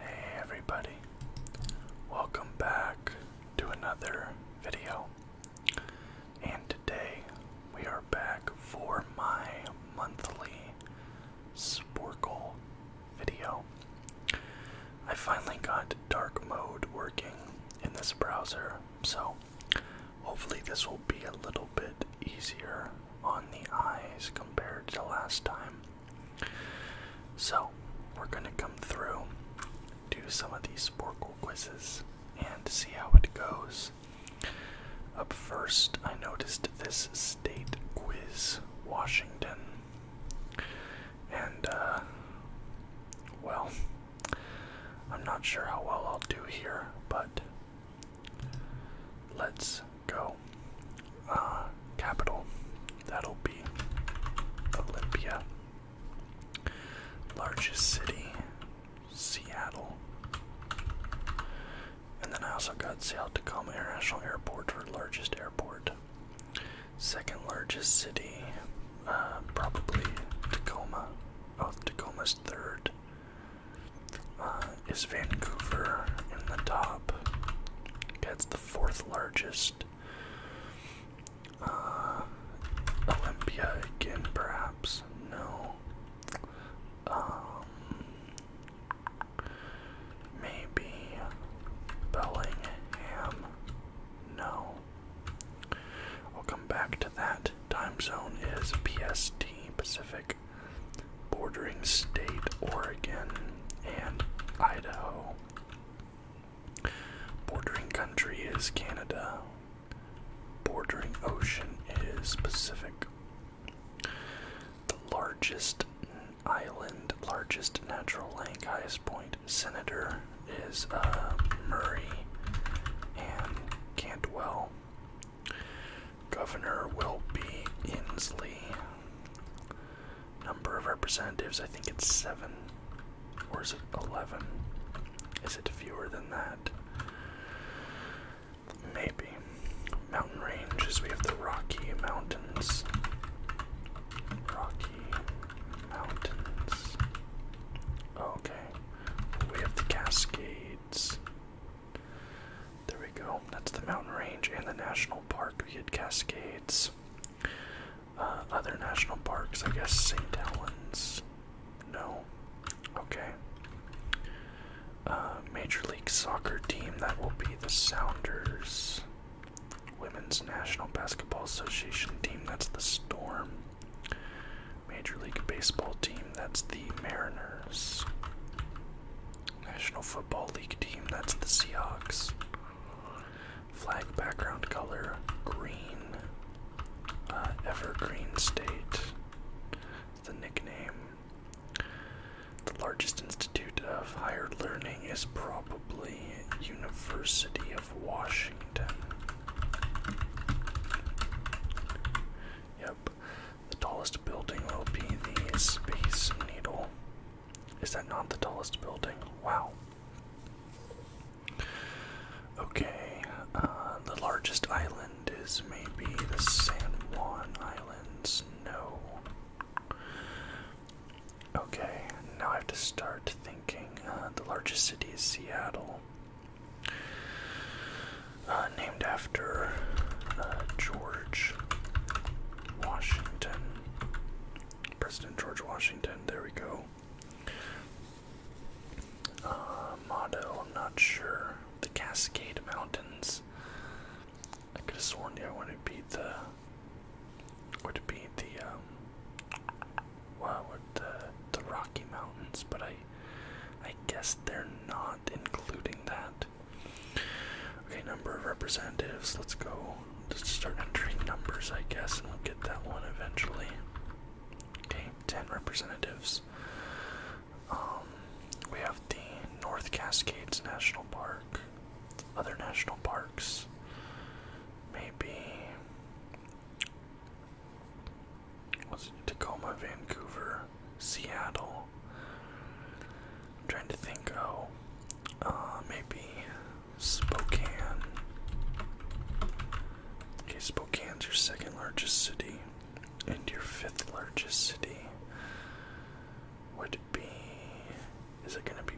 Hey everybody, welcome back to another video. And today we are back for my monthly Sporkle video. I finally got dark mode working in this browser, so hopefully this will be a little bit easier on the eyes compared to last time. So, we're going to come through, do some of these Sporkle quizzes, and see how it goes. Up first, I noticed this state quiz, Washington. And, uh, well, I'm not sure how well I'll do here, but let's go. Uh, capital, that'll be Olympia. Largest city, Seattle. And then I also got Seattle Tacoma International Airport for largest airport. Second largest city, uh, probably Tacoma. Oh, Tacoma's third. Uh, is Vancouver in the top. That's the fourth largest. Uh, Olympia again, perhaps. No. Um, maybe Bellingham. No. I'll come back to that. Time zone is PST, Pacific bordering state Oregon and Idaho. Bordering country is Canada. Bordering ocean is Pacific. The largest island, largest natural lake, highest point, Senator is uh, Murray and Cantwell. Governor will be Inslee. Number of representatives, I think it's seven. Or is it 11? Is it fewer than that? Maybe. Mountain ranges, we have the Rocky Mountains. Rocky Mountains. Okay. We have the Cascades. There we go. That's the mountain range and the national park. We had Cascades. Uh, other national parks, I guess St. Helens. No. Okay. Uh, Major League Soccer team, that will be the Sounders. Women's National Basketball Association team, that's the Storm. Major League Baseball team, that's the Mariners. National Football League team, that's the Seahawks. Flag background color green. Uh, Evergreen State, the nickname. The largest institute of higher learning is probably University of Washington. Yep, the tallest building will be the Space Needle. Is that not the tallest building? Wow. Okay, uh, the largest island is maybe the San Juan Islands. No. Okay, now I have to start thinking. Uh, the largest city is Seattle. Uh, named after uh, George Washington. President George Washington, there we go. Uh, motto, i not sure. The Cascade Mountains. I could have sworn yeah, wanted to beat the would be the um well would the Rocky Mountains, but I I guess they're not including that. Okay, number of representatives. Let's go. Just start entering numbers, I guess, and we'll get that one eventually. Okay, 10 representatives. Um, we have the North Cascades National Park, other national parks. Maybe. Was it Tacoma, Vancouver? Seattle. trying to think, oh, uh, maybe Spokane. Okay, Spokane's your second largest city, and your fifth largest city would be. Is it gonna be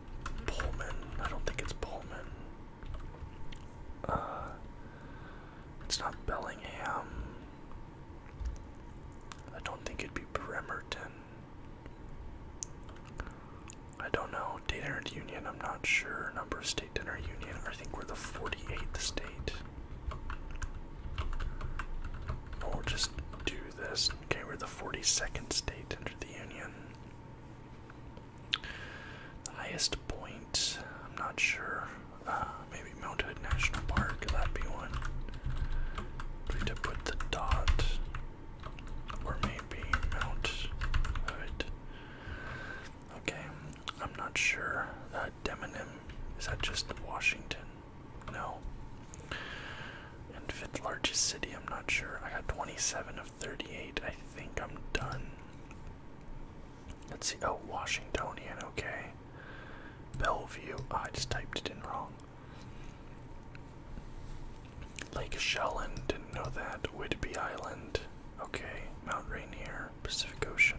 Pullman? I don't think it's Pullman. Uh, it's not Bellingham. I don't think it'd be Bremerton. I don't know. Date entered union, I'm not sure. Number of state dinner union. I think we're the 48th state. we just do this. Okay, we're the 42nd state under the union. The highest point, I'm not sure. Uh, maybe mountain. National Park, that be one. to put the dot, or maybe mount hood. Okay, I'm not sure. That uh, Demonym, is that just Washington? No. And fifth largest city, I'm not sure. I got 27 of 38. I think I'm done. Let's see. Oh, Washingtonian. Okay. Bellevue. Ah, I just typed it in wrong. Lake Shelland, didn't know that. Whitby Island, okay. Mount Rainier, Pacific Ocean.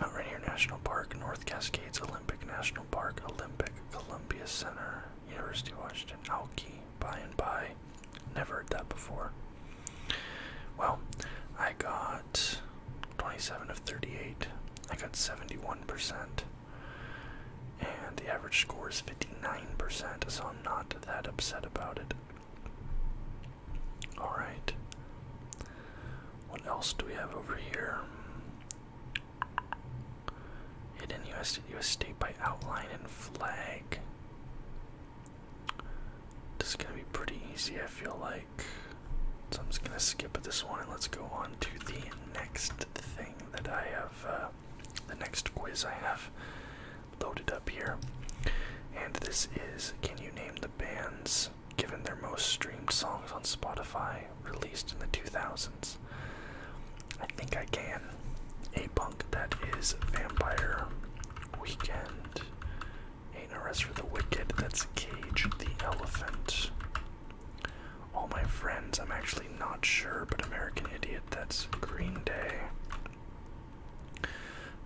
Mount Rainier National Park, North Cascades Olympic National Park, Olympic, Columbia Center, University of Washington, Alki, by and by. Never heard that before. Well, I got 27 of 38. I got 71%. And the average score is 59%, so I'm not that upset about it. Alright. What else do we have over here? Hidden US, US state by outline and flag. This is going to be pretty easy, I feel like. So I'm just gonna skip this one and let's go on to the next thing that I have, uh, the next quiz I have loaded up here. And this is Can you name the bands given their most streamed songs on Spotify released in the 2000s? I think I can. A punk that is Vampire Weekend. Ain't no rest for the wicked. That's Cage the Elephant. All my friends, I'm actually not sure, but American Idiot, that's Green Day.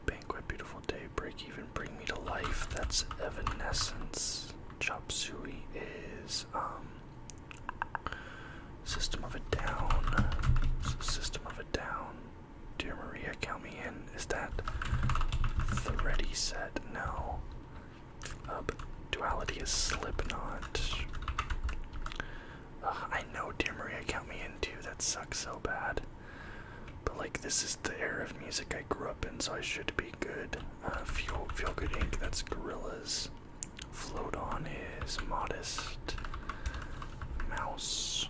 Banquet, Beautiful Day, Break Even, Bring Me to Life, that's Evanescence. Chop Suey is um, System of a Down. System of a Down. Dear Maria, count me in. Is that the ready set? No. Um, duality is Slipknot. I know, dear Maria, count me in too. That sucks so bad. But like, this is the era of music I grew up in, so I should be good. Uh, feel, feel good, Ink. That's Gorillas. Float on is modest. Mouse.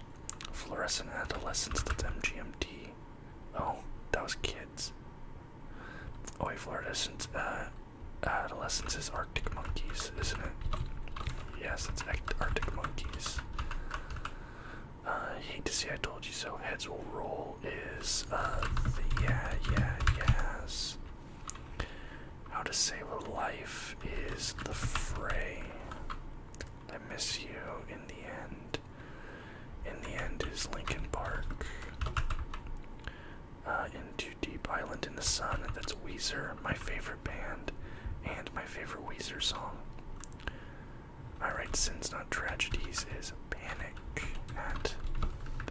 Fluorescent adolescence. That's MGMT. Oh, those kids. Oh, wait, fluorescent uh, adolescence is Arctic monkeys, isn't it? Yes, it's Arctic monkeys. Uh, I hate to say I told you so. Heads will roll is uh, the yeah, yeah, yes. How to save a life is the fray. I miss you in the end in the end is Lincoln Park. Uh, into Deep Island in the Sun, that's Weezer, my favorite band, and my favorite Weezer song. Alright, Sins Not Tragedies is Panic at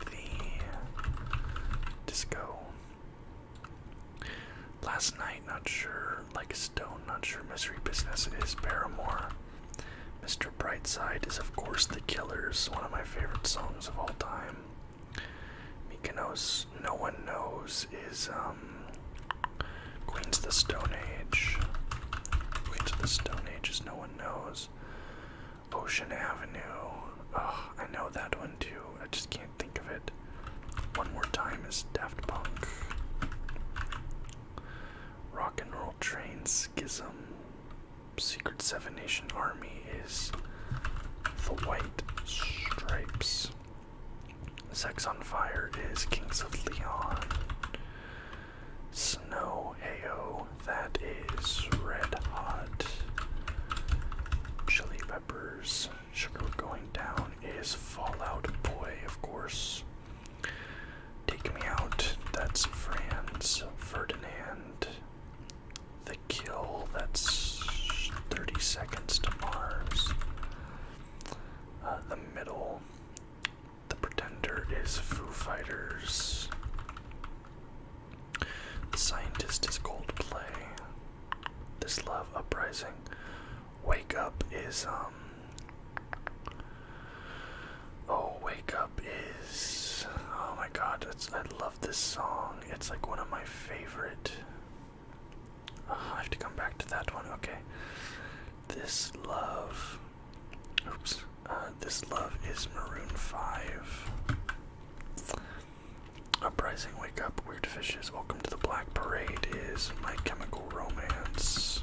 the Disco. Last Night, not sure, Like a Stone, not sure, misery Business is Paramore. Mr. Brightside is, of course, The Killers, one of my favorite songs of all time. Mykonos, No One Knows, is um, Queens of the Stone Age. Queens the Stone Age is No One Knows. Ocean Avenue. Oh, I know that one too. I just can't think of it. One More Time is Daft Punk. Rock and Roll Train Schism. Secret Seven Nation Army is the White Stripes. Sex on Fire is Kings of Leon. Snow Heyo, that is Red Hot. Chili Peppers, Sugar Going Down is Fallout Boy, of course. Take me out. That's Franz Ferdinand. The kill. That's 30 seconds to Mars. Uh, the middle. The pretender is Foo Fighters. The scientist is Coldplay. This love uprising. Wake up is um Oh, Wake Up is. Oh my god, I love this song. It's like one of my favorite. Ah, I have to come back to that one. Okay. This Love. Oops. Uh, this Love is Maroon 5. Uprising, Wake Up, Weird Fishes, Welcome to the Black Parade is My Chemical Romance.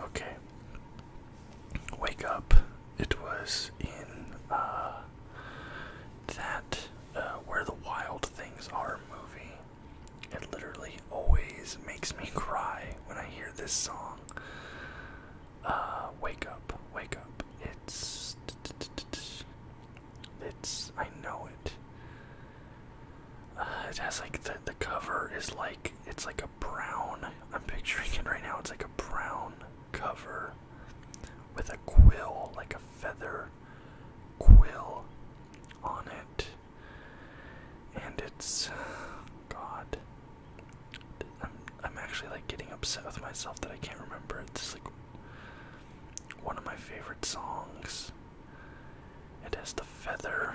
Okay wake up. It was in uh, that uh, Where the Wild Things Are movie. It literally always makes me cry when I hear this song. Uh, wake up, wake up. It's. It's. I know it. it has like the, the cover is like it's like a brown, I'm picturing it right now, it's like a brown cover with a quill, like a feather quill on it. And it's, God, I'm, actually like getting upset with myself that I can't remember. It's like one of my favorite songs. It has the feather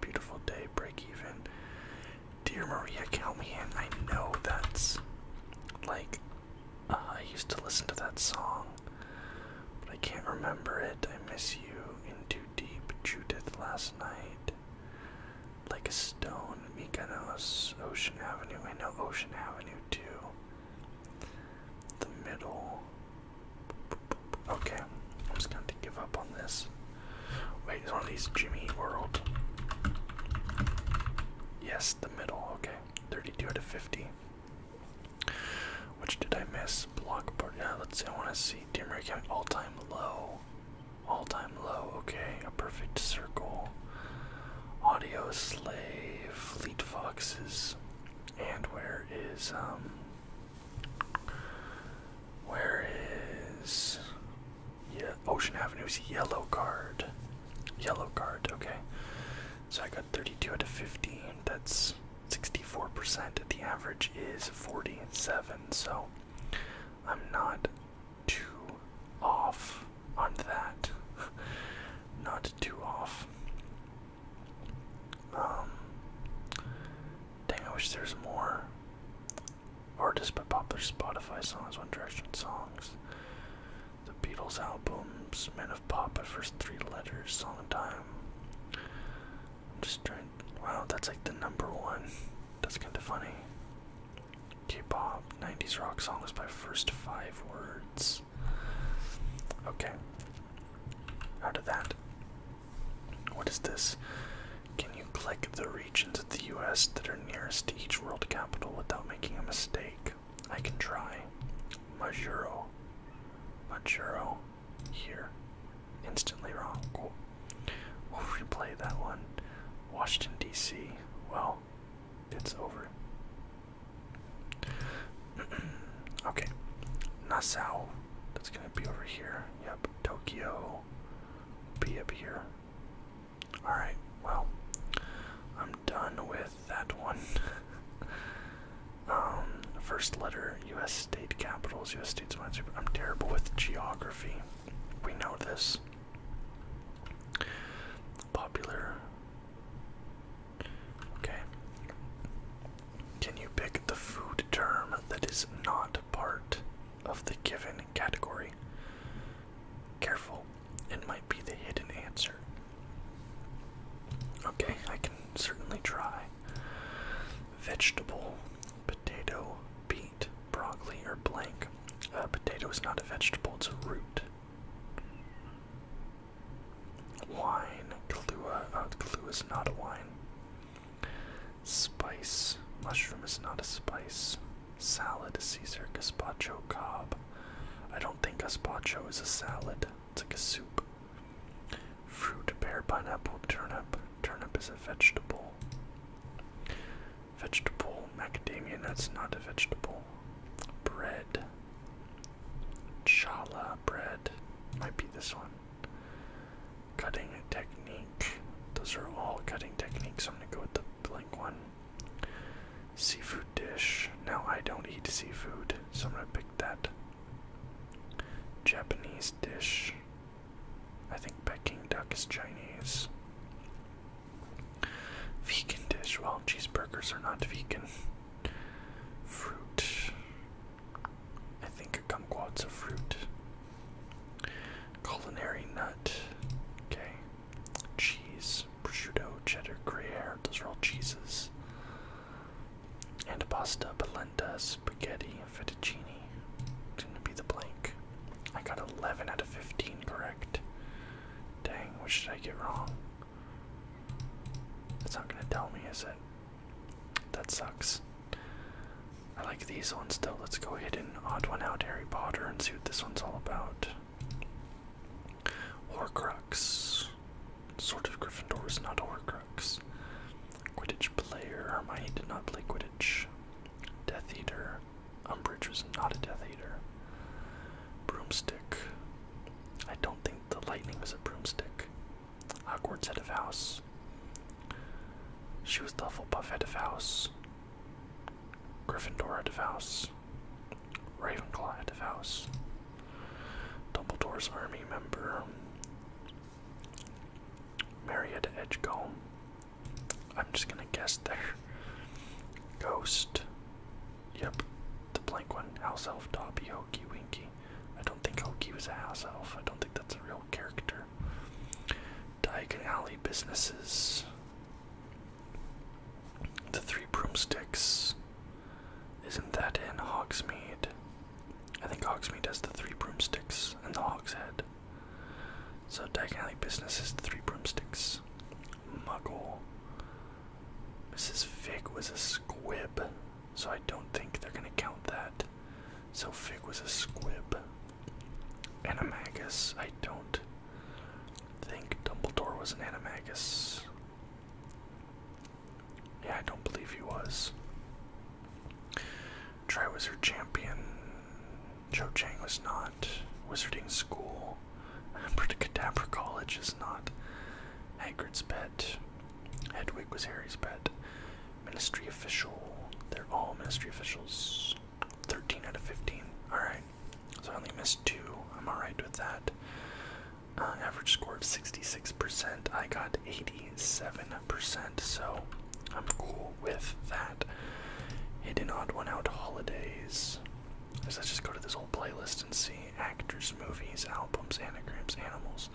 beautiful day, break even. Dear Maria count me in. I know that's like uh, I used to listen to that song, but I can't remember it. I miss you in too deep, Judith last night. Like a stone, Mykonos, Ocean Avenue. I know Ocean Avenue too. The middle, Okay, I'm just going to give up on this. Wait, it's one of these Jimmy World. Yes, the middle. Okay, 32 out of 50. Which did I miss? Block party. Yeah, let's see. I want to see. Dear Mary County, all time low. All time low. Okay, a perfect circle. Audio slave. Fleet foxes. And where is um where is Ocean Avenue's yellow card? Yellow card, okay. So I got 32 out of 50. That's 64%. The average is 47, so I'm not too off on that. not too off. Um, dang, I wish there's more artists by popular Spotify songs, One Direction songs, the Beatles albums, Men of Pop by first three letters, song time. just trying. Wow, that's like the number one. That's kind of funny. K-pop, 90s rock songs by first five words. Okay. Out of that, what is this? Can you click the regions of the US that are nearest to each world capital without making a mistake? I can try. Majuro. Majuro. Here. Instantly wrong. Cool. We'll replay that one. Washington, D.C. Well, it's over. Okay, Nassau. That's gonna be over here. Yep, Tokyo. Be up here. All right. Well, I'm done with that one. um, first letter. U.S. state capitals. U.S. states. I'm terrible with geography. We know this. Popular. Okay. Can you pick the food term that is not part of the given category? Careful, it might be the hidden answer. Okay, I can certainly try. Vegetable, potato, beet, broccoli, or blank. Uh, potato is not a vegetable, it's a root. Wine, Kahlua, uh, is not a wine. Spice. Mushroom is not a spice. Salad, Caesar, gazpacho, cob. I don't think gazpacho is a salad. It's like a soup. Fruit, pear, pineapple, turnip. Turnip is a vegetable. Vegetable, macadamia nuts, not a vegetable. Bread. Chala bread. Might be this one. Cutting technique. Those are all cutting techniques. I'm gonna go with the blank one. Seafood dish. No, I don't eat seafood, so I'm gonna pick that. Japanese dish. I think Peking duck is Chinese. Vegan dish. Well, cheeseburgers are not vegan. Fruit. I think a kumquat's a fruit. Culinary nut. Okay. Cheese. Prosciutto, cheddar, gruyere. Those are all cheeses. And pasta, polenta, spaghetti, fettuccine. gonna be the blank. I got 11 out of 15 correct. Dang, what should I get wrong? It's not gonna tell me, is it? That sucks. I like these ones though. Let's go ahead and odd one out, Harry Potter, and see what this one's all about. Horcrux. Sort of Gryffindor's not Horcrux. Quidditch player. Hermione did not play Quidditch. Death Eater. Umbridge was not a Death Eater. Broomstick. I don't think the lightning is a broomstick. Awkward set of house. She was the Hufflepuff head of house. Gryffindor head of Ravenclaw head of house. Dumbledore's army member. Marietta Edgecombe. I'm just gonna guess there. Ghost. Yep. The blank one. House Elf Dobby Hokey Winky. I don't think Hokey was a house elf. I don't think that's a real character. Diagon Alley businesses. The Three Broomsticks. Isn't that in Hogsmeade? I think Hogsmeade has the Three Broomsticks and the Hogshead. So Diagon Alley businesses, the Three Broomsticks. Muggle. Mrs. Fig was a squib. So I don't think they're going to count that. So Fig was a squib. And Animagus, I don't think Dumbledore was an Animagus. Yeah, I don't believe he was. Triwizard Champion. Cho Chang was not. Wizarding School. Abracadabra College is not. Hagrid's Pet. Hedwig was Harry's pet. Ministry official. They're all ministry officials. 13 out of 15. Alright. So I only missed two. I'm alright with that. Uh, average score of 66%. I got 87%. So I'm cool with that. Hidden odd one out holidays. Let's just go to this whole playlist and see actors, movies, albums, anagrams, animals.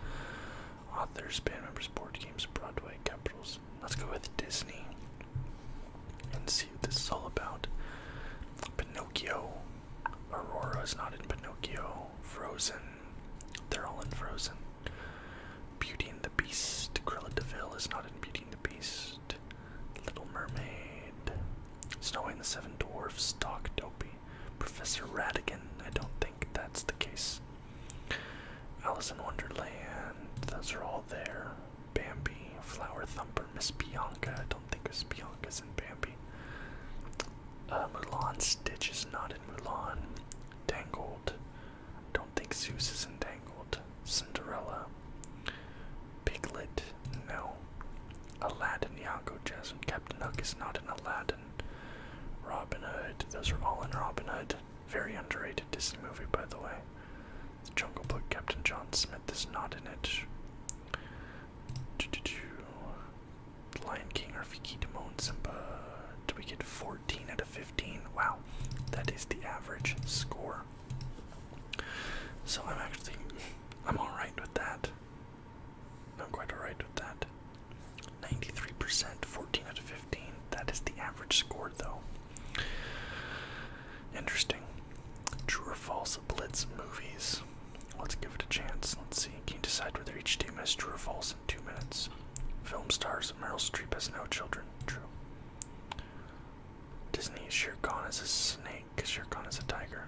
Authors, band members, board games, Broadway, capitals. Let's go with Disney and see what this is all about. Pinocchio. Aurora is not in Pinocchio. Frozen. They're all in Frozen. Beauty and the Beast. Cruella de Vil is not in Beauty and the Beast. Little Mermaid. Snow White and the Seven Dwarfs. Doc Dopey. Professor Radigan, I don't think that's the case. Alice in Wonderland, those are all there. Bambi, Flower Thumper, Miss Bianca, I don't think Miss Bianca's in Bambi. Uh, Mulan, Stitch is not in Mulan. Tangled, don't think Zeus is in Tangled. Cinderella, Piglet, no. Aladdin, Yago, Jasmine, Captain Hook is not in Aladdin. Robin Hood. Those are all in Robin Hood. Very underrated Disney movie, by the way. The Jungle Book, Captain John Smith is not in it. Lion King, Are Rafiki Timon, Simba. Do we get 14 out of 15? Wow, that is the average score. So I'm actually, I'm alright with that i quite alright with that. 93%, 14 out of 15. That is the average score, though. Interesting. True or false Blitz movies? Let's give it a chance. Let's see. Can you decide whether each team has true or false in two minutes? Film stars Meryl Streep has no children. True. Disney's Shere Khan is a snake. Shere Khan is a tiger.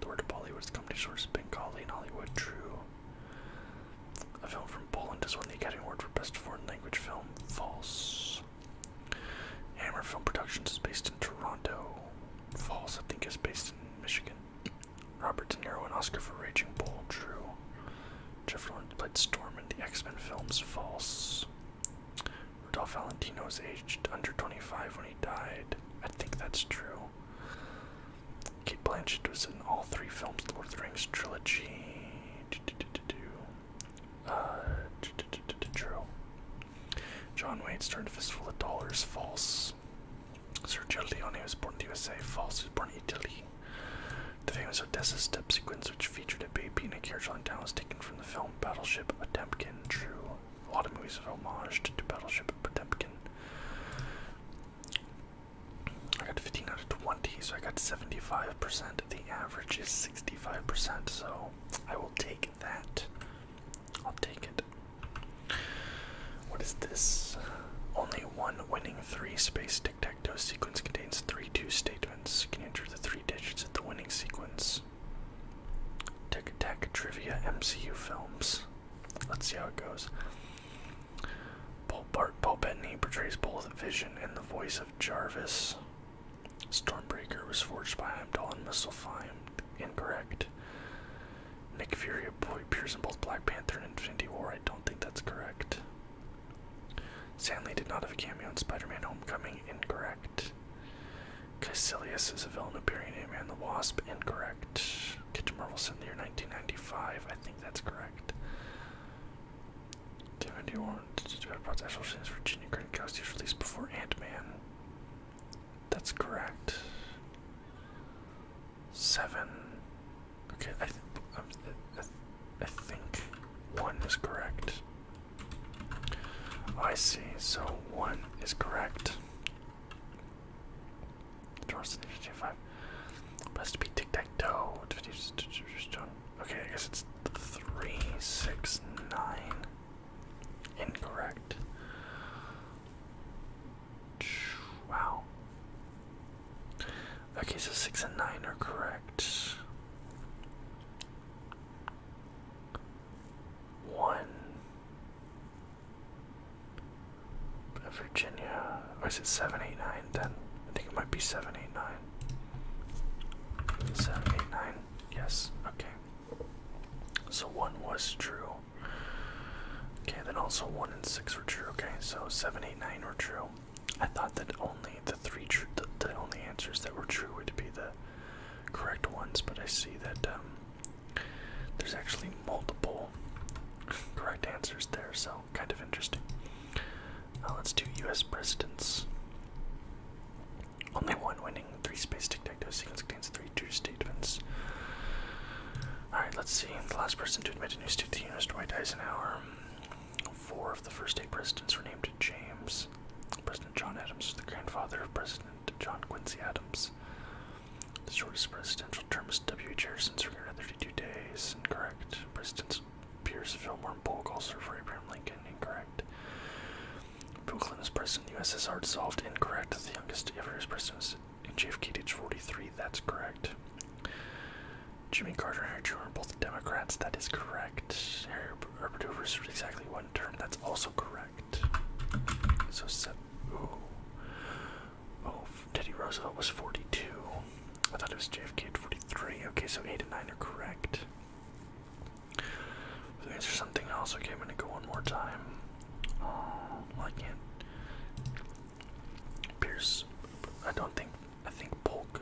The word Bollywood has come to shores source Bengali in Hollywood. True. A film from Poland has won the Academy Award for Best Foreign Language Film. False. Hammer Film Productions is based in Toronto. False, I think, is based in Michigan. Robert De Niro and Oscar for Raging Bull. True. Jeff Lawrence played Storm in the X-Men films. False. Rudolph Valentino was aged under 25 when he died. I think that's true. Kate Blanchett was in all three films, the Lord of the Rings trilogy. Uh, true. John Wayne's turn a fistful of dollars, false. Sir Sergio Leone was born in the USA, false. He was born in Italy. The famous Odessa step sequence, which featured a baby in a carriage on down, was taken from the film Battleship Potemkin, true a lot of movies have homaged to, to Battleship Potemkin. I got 15 out of 20, so I got 75%. The average is 65%, so I will take that. I'll take it. What is this? Only one winning three space tic tac toe sequence contains three two statements. You Can enter the three digits of the winning sequence? Tic Tac Trivia MCU Films. Let's see how it goes. Paul Bart Paul Bettany portrays both Vision and the voice of Jarvis. Stormbreaker was forged by Heimdall and Mistlefine. Incorrect. Nick Fury appears in both Black Panther and Infinity War. I don't think that's correct. Stanley did not have a cameo in Spider-Man: Homecoming. Incorrect. Caecilius is a villain appearing in the Wasp. Incorrect. Get to Marvel's in the year 1995. I think that's correct. Timothy Warren brought the actual scenes Virginia Green released before Ant-Man. That's correct. Seven. Okay, um, I, I think one is correct. I see, so one is correct. Dwarfs initiative five. Must be tic tac toe. Okay, I guess it's three, six, nine. Incorrect. Wow. Okay, so six and nine are correct. One, Virginia, or is it 789 then? I think it might be 789. 789, yes, okay. So one was true. Okay, then also one and six were true. Okay, so seven, eight, nine were true. I thought that only the three true, the, only answers that were true would be the correct ones, but I see that um, there's actually multiple correct answers there, so kind of interesting. Uh, let's do U.S. presidents. Only one winning, three space tic tac toe sequence contains three true statements. Alright, let's see. The last person to admit a new state to the union was Dwight Eisenhower. Four of the first eight presidents were named James. President John Adams the grandfather of President John Quincy Adams. The shortest presidential term is W. Jefferson's 32 days. Incorrect. Presidents Pierce, Fillmore, Polk also for Abraham Lincoln. Incorrect. Bill Clinton's president in the USSR dissolved. Incorrect. The youngest ever is president in JFK at 43. That's correct. Jimmy Carter and Harry Truman are both Democrats. That is correct. Herbert Arbiter served exactly one term. That's also correct. So seven. Oh, oh Teddy Roosevelt was 42. I thought it was JFK 43. Okay, so eight and nine are correct. Is something else? Okay, I'm gonna go one more time. Oh, I can't. Pierce. I don't think. I think Polk.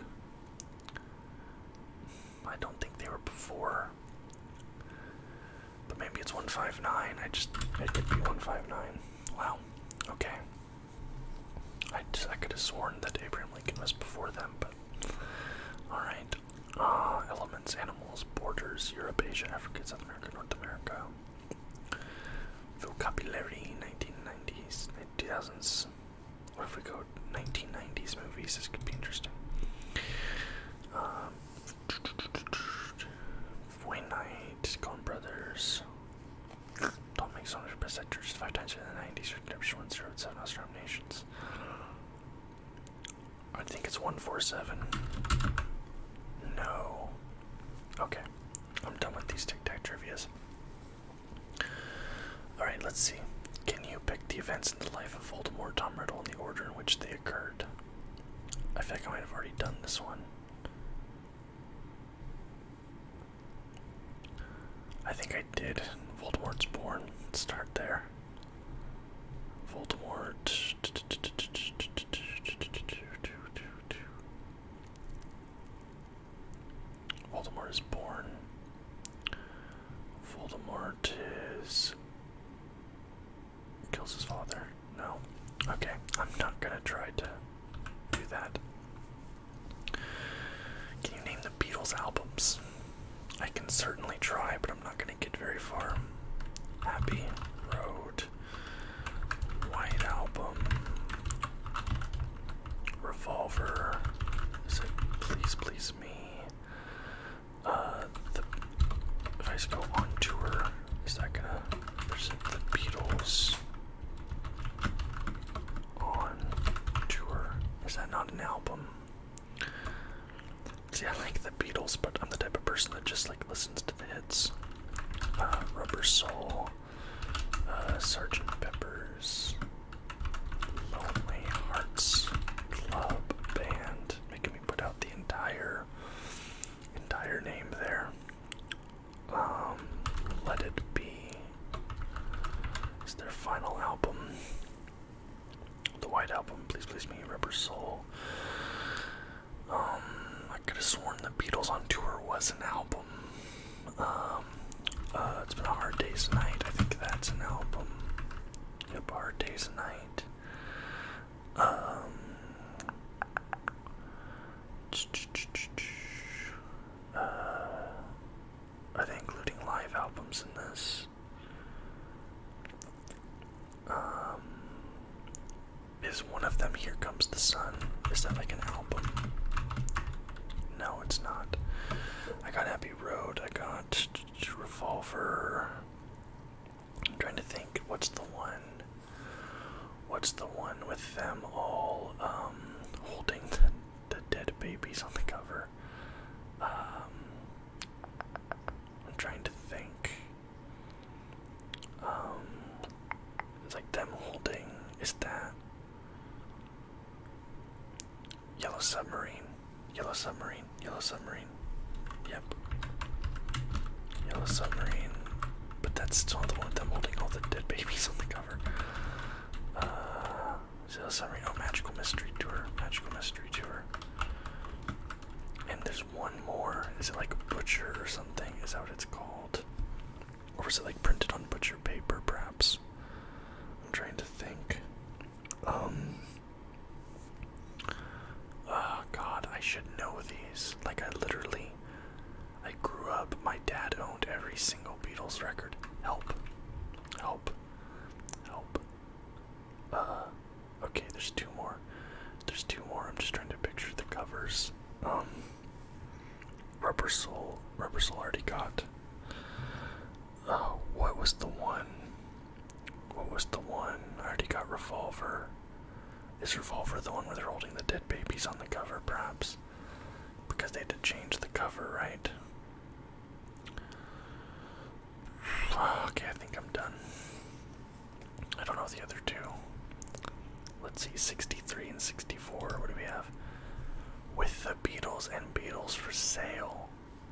I don't think they were before. But maybe it's 159. I just it could be 159. Wow. Okay. I I could have sworn that Abraham Lincoln was before them, but all right. Ah, elements, animals, borders, Europe, Asia, Africa, South America, North America. Vocabulary, 1990s, 2000s. What if we go 1990s movies? This could be interesting. Um, Wayne Knight, Coen Brothers. Don't make so much best actors five times in the nineties redemption one zero seven Oscar nominations. I think it's one four seven. No. Okay. I'm done with these tic tac trivias. Alright, let's see. Can you pick the events in the life of Voldemort, Tom Riddle, and the order in which they occurred? I feel like I might have already done this one. I think I did. Voldemort's born. start there. Voldemort. Voldemort is born. Voldemort is Kills his father. No. Okay, I'm not gonna try to do that. Can you name the Beatles albums? I can certainly try, but I'm not gonna get very far. Happy Road, White Album, Revolver, Please Please Me, uh, the, if go on tour, is that gonna present the Beatles on tour? Is that not an album? See, I like the Beatles, but I'm the type of person that just like listens to the hits. Uh, Rubber Soul, uh, Sergeant Pepper's, Lonely Hearts Club Band, making me put out the entire entire name there. Um, Let It Be is their final album. The White Album, Please Please Me, Rubber Soul. Um, I could have sworn The Beatles on Tour was an album. Um, uh, it's Been a Hard Day's Night, I think that's an album. Yep, Hard Day's Night. Um, uh, are they including live albums in this? Um, is one of them Here Comes the Sun? Is that like an album? No, it's not. I got Happy Road, I got Revolver. I'm trying to think what's the one what's the one with them all um, holding the, dead babies on the cover um, I'm trying to think um, it's like them holding is that Yellow Submarine Yellow Submarine Yellow Submarine submarine. Yep. Yellow submarine. But that's not the one with them holding all the dead babies on the cover. Uh, yellow submarine. Oh, magical mystery tour. Magical mystery tour. And there's one more. Is it like butcher or something? Is that what it's called? Or was it like printed on butcher paper, perhaps? I'm trying to think. Um, Oh god, I should know these. Like I literally I grew up, my dad owned every single Beatles record. Help. Help. Help. Uh okay, there's two more. There's two more. I'm just trying to picture the covers. Um Rubber Soul. Rubber Soul already got. Oh, what was the one? What was the one? I already got Revolver. Is Revolver the one where they're holding the dead babies on the cover, perhaps? Because they had to change the cover, right? Okay, I think I'm done. I don't know the other two. Let's see, 63 and 64. What do we have? With the Beatles and Beatles for sale.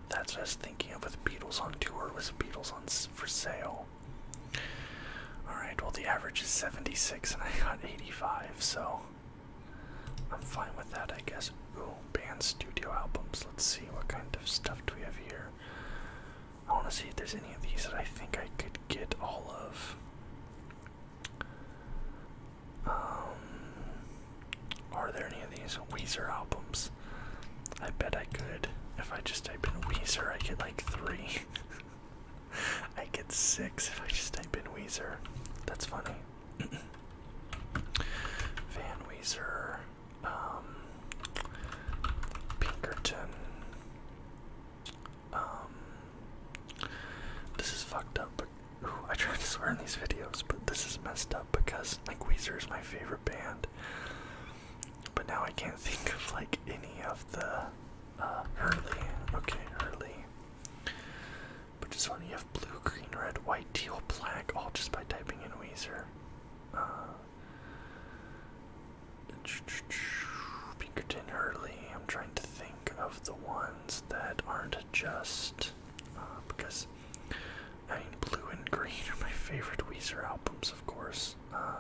That's what I was thinking of with Beatles on tour was Beatles on for sale. Alright, well, the average is 76 and I got 85, so I'm fine with that, I guess. Ooh, band studio albums. Let's see what kind of stuff do we have here. I want to see if there's any of these that I think I could get all of. Um, are there any of these Weezer albums? I bet I could. If I just type in Weezer, I get like three. I get six if I just type in Weezer. That's funny. Van Weezer, um, Pinkerton. Um, this is fucked up. But, ooh, I try to swear in these videos, but this is messed up because like Weezer is my favorite band. But now I can't think of like any of the early. Uh, okay, early. But is funny, you have blue, green, red, white, teal, black, all just by typing in Weezer. Uh, Pinkerton, early. I'm trying to think of the ones that aren't just uh, because I mean, blue and green are my favorite Weezer albums, of course.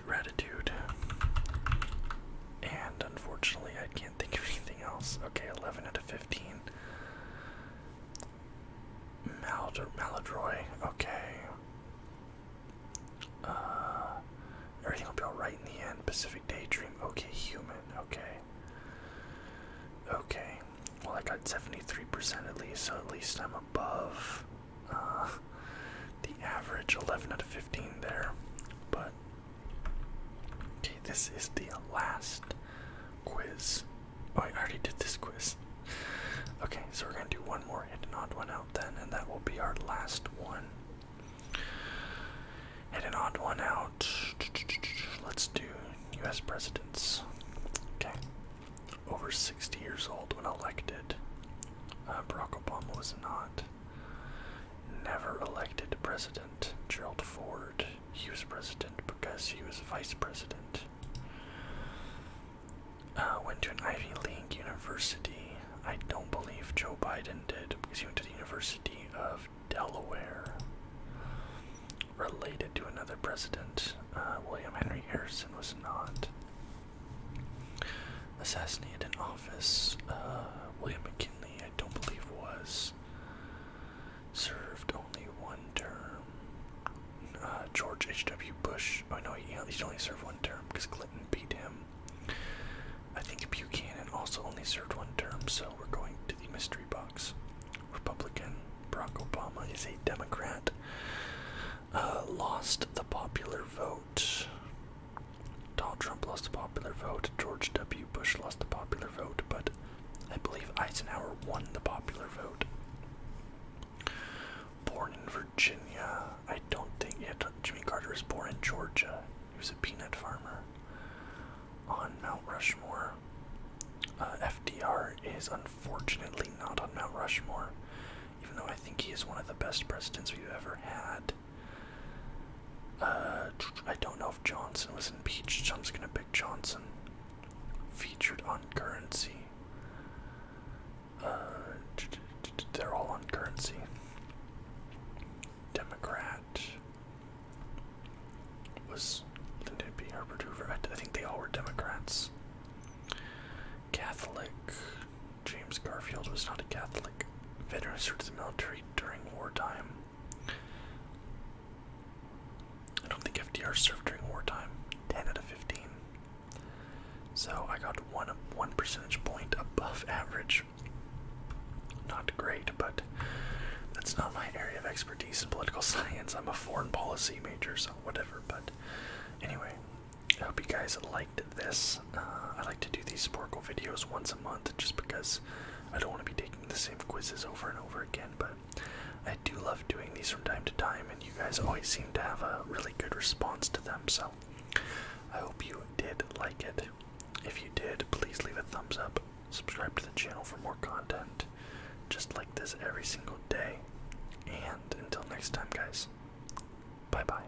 gratitude. And unfortunately, I can't think of anything else. Okay, 11 out of 15. Mal Maladroy, okay. Uh, everything will be alright in the end. Pacific Daydream, okay, human, okay. Okay, well, I got 73% at least, so at least I'm above uh, the average 11 out of 15 there. But Okay, this is the last quiz. Oh, I already did this quiz. Okay, so we're gonna do one more hit an odd one out then, and that will be our last one. Hit an odd one out. Let's do US presidents. Okay. Over 60 years old when elected. Uh, Barack Obama was not never elected president. Gerald Ford, he was president because he was vice president. Uh, went to an Ivy League university. I don't believe Joe Biden did because he went to the University of Delaware. Related to another president, uh, William Henry Harrison was not assassinated in office. Uh, William McKinley, I don't believe, was. Served only one term. Uh, George H.W. Bush, oh no, he, only served one term because Clinton beat him. I think Buchanan also only served one term, so we're going to the mystery box. Republican Barack Obama is a Democrat. Uh, lost the popular vote. Donald Trump lost the popular vote, George W. Bush lost the popular vote, but I believe Eisenhower won the popular vote. Born in Virginia, I don't think yet. Jimmy Carter was born in Georgia. He was a peanut farmer. On Mount Rushmore, uh, FDR is unfortunately not on Mount Rushmore, even though I think he is one of the best presidents we've ever had. Uh, I don't know if Johnson was impeached, so I'm just gonna pick Johnson. Featured on currency. Uh, they're all on currency. Democrat was Lyndon B. Herbert Hoover. I think they all were Democrats. Catholic, James Garfield was not a Catholic. Veteran served in the military during wartime. I don't think FDR served during wartime. 10 out of 15. So I got one one percentage point above average. Not great, but that's not my area of expertise in political science. I'm a foreign policy major, so whatever. But anyway, I hope you guys like this. Uh, I like to do these Sporkle videos once a month just because I don't want to be taking the same quizzes over and over again, but I do love doing these from time to time, and you guys always seem to have a really good response to them, so I hope you did like it. If you did, please leave a thumbs up, subscribe to the channel for more content just like this every single day, and until next time, guys, bye bye.